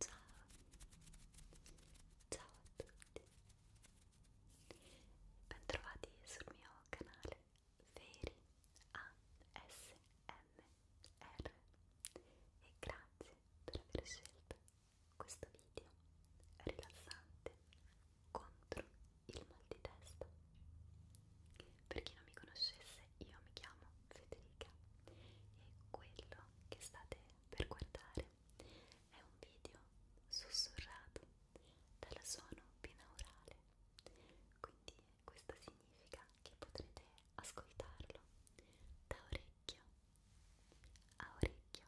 Ciao, ciao a tutti, bentrovati sul mio canale Feri ASMR e grazie per aver scelto questo video rilassante contro il mal di testa. Per chi non mi conoscesse, io mi chiamo Federica e quello che state per guardare è un video sussurrato dalla suono binaurale. Quindi questo significa che potrete ascoltarlo da orecchio a orecchio.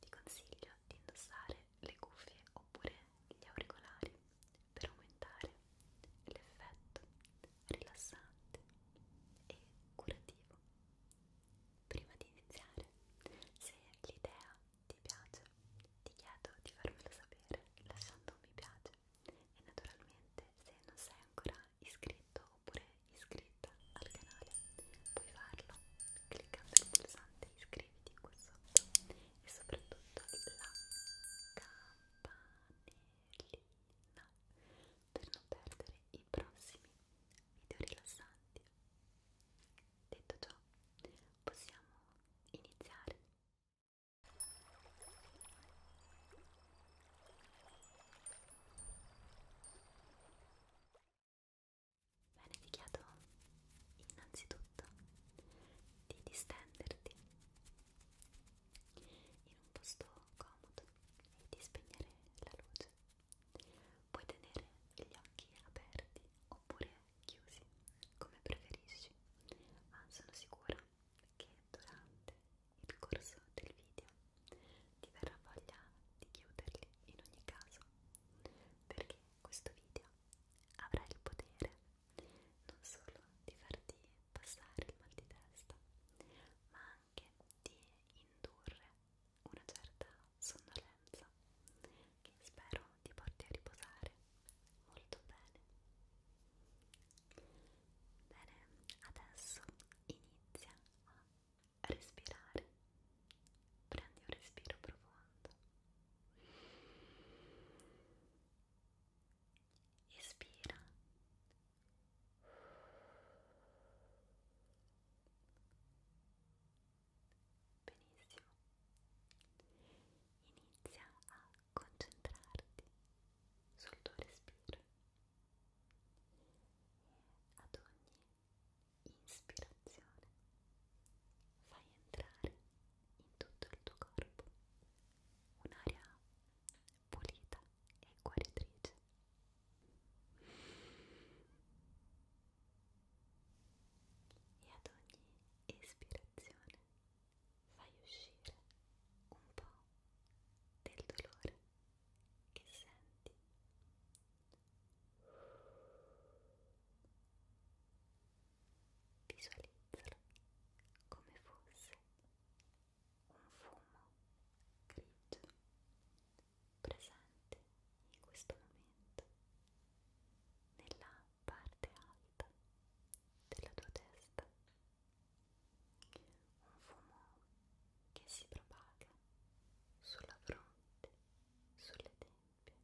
Ti consiglio di indossare le cuffie oppure gli auricolari per aumentare l'effetto rilassante e curativo. Prima di iniziare, se l'idea ti piace, ti chiedo di farmelo sapere lasciando un mi piace e naturalmente se non sei ancora iscritto oppure iscritta al canale puoi farlo cliccando il pulsante iscriviti qua sotto e soprattutto la campanellina per non perdere i prossimi video rilassanti. Detto ciò, possiamo iniziare. Bene, ti chiedo innanzitutto di distenderti in un posto comodo e di spegnere la luce. Puoi tenere gli occhi aperti oppure chiusi, come preferisci, ma sono sicura che durante il corso del video ti verrà voglia di chiuderli in ogni caso perché questo video avrà il potere non solo di farti passare il mal di testa, ma anche di indurre una certa sonnolenza che spero ti porti a riposare molto bene. Bene, adesso inizia a respirare. Prendi un respiro profondo Espira. Benissimo. Inizia a concentrarti sul tuo respiro e ad ogni ispirazione fai entrare in tutto il tuo corpo un'aria pulita e guaritrice. E ad ogni ispirazione fai uscire un po' del dolore che senti. Visualizzalo come fosse un fumo grigio presente in questo momento nella parte alta della tua testa. Un fumo che si propaga sulla fronte, sulle tempie tempia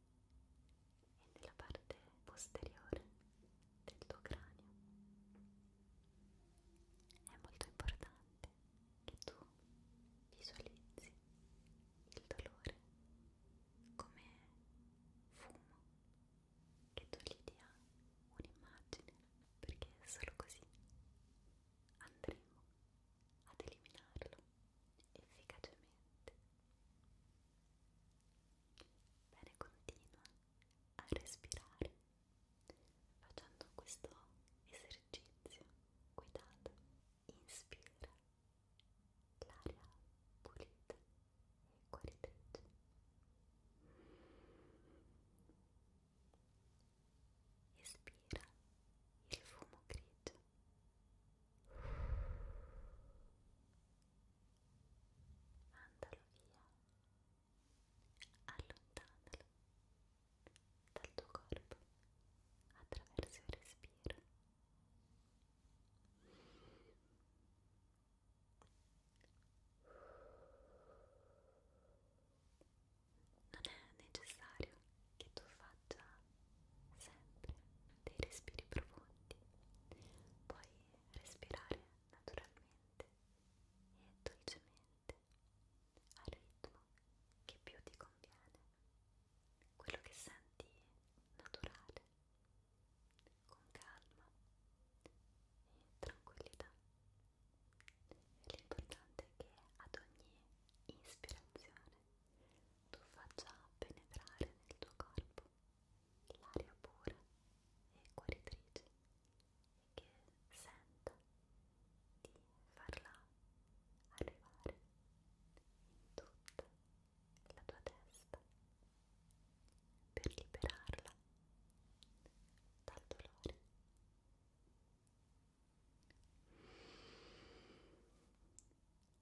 e nella parte posteriore del tuo cranio. È molto importante che tu visualizzi il dolore come fumo, che tu gli dia un'immagine, perché solo così andremo ad eliminarlo efficacemente. Bene, continua a respirare facendo questo esercizio guidato. Inspira l'aria pulita e guaritrice. Espira il fumo grigio Mandalo via, allontanalo dal tuo corpo attraverso il respiro. Non è necessario che tu faccia faccia sempre dei respiri profondi, puoi respirare naturalmente e dolcemente al ritmo che più ti conviene, quello che senti naturale, con calma e tranquillità. L'importante è che ad ogni ispirazione tu faccia penetrare nel tuo corpo l'aria pura e guaritrice e che senta di farla arrivare in tutta la tua testa per liberarla dal dolore.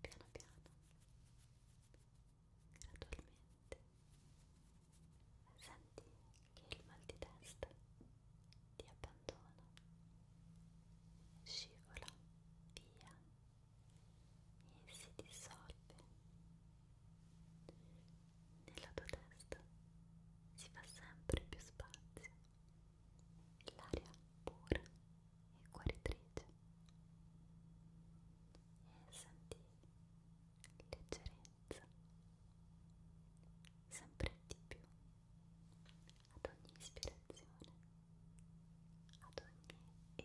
piano piano, gradualmente, senti che il mal di testa ti abbandona, scivola via e si dissolve nella tua testa si fa sempre più spazio l'aria pura e guaritrice e senti leggerezza sempre di più ad ogni ispirazione ad ogni ispirazione e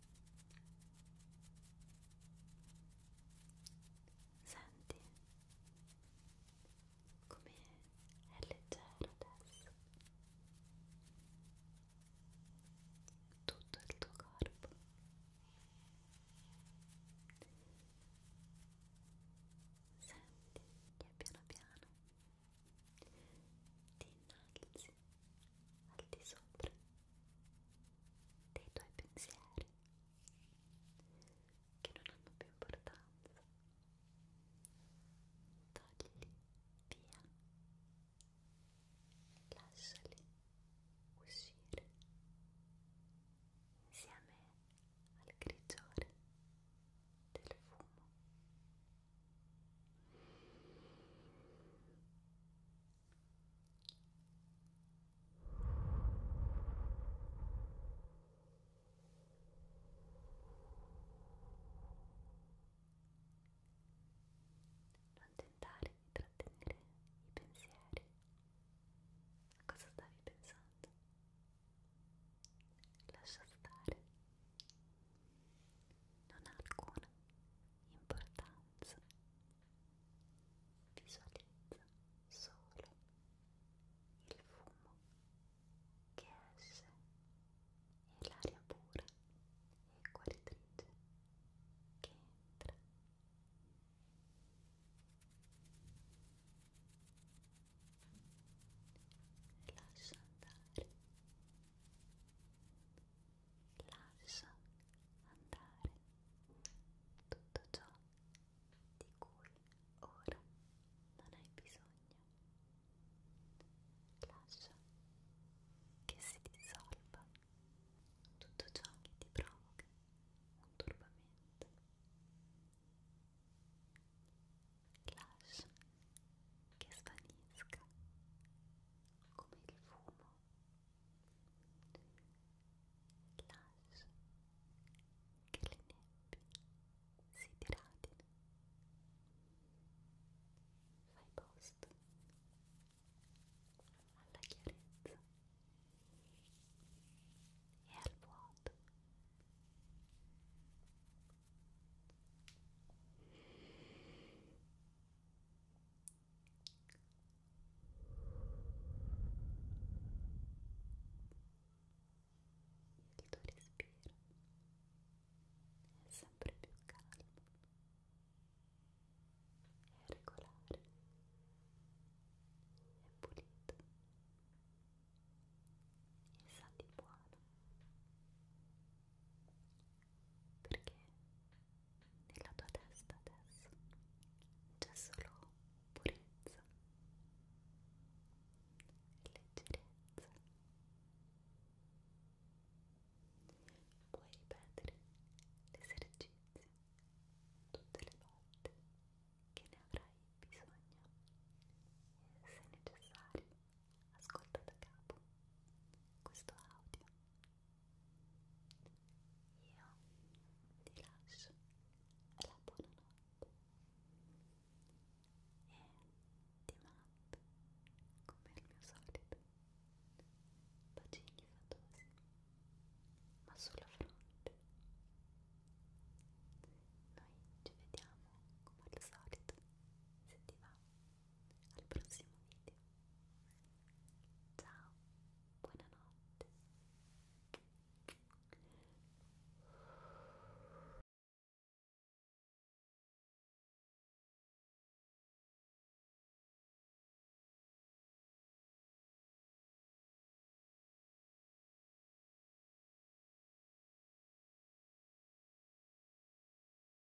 Senti come è leggero adesso tutto il tuo corpo senti che piano piano ti innalzi passi al di sopra dei tuoi pensieri che non hanno più importanza. Togli via, lasciali uscire insieme al grigiore del fumo non tentare di trattenere i pensieri. A cosa stavi pensando? Lascia stare. Non ha alcuna importanza. Visualizza solo il fumo che esce e l'aria pura e guaritrice che entra. Lascia andare lascia andare tutto ciò di cui ora non hai bisogno. Lascia che si dissolva tutto ciò che ti provoca un turbamento. Lascia che svanisca come il fumo Lascia che le nebbie si diradino. Fai posto alla chiarezza e al vuoto il tuo respiro è sempre più calmo è regolare è pulito e sa di buono perché nella tua testa adesso c'è solo purezza e leggerezza. Puoi ripetere l'esercizio tutte le volte che ne avrai bisogno e se necessario ascolta da capo questo audio io ti lascio la buonanotte e ti mando, come al mio solito, bacini fatosi, ma sulla fronte. Noi ci vediamo come al solito, se ti va al prossimo video ciao buonanotte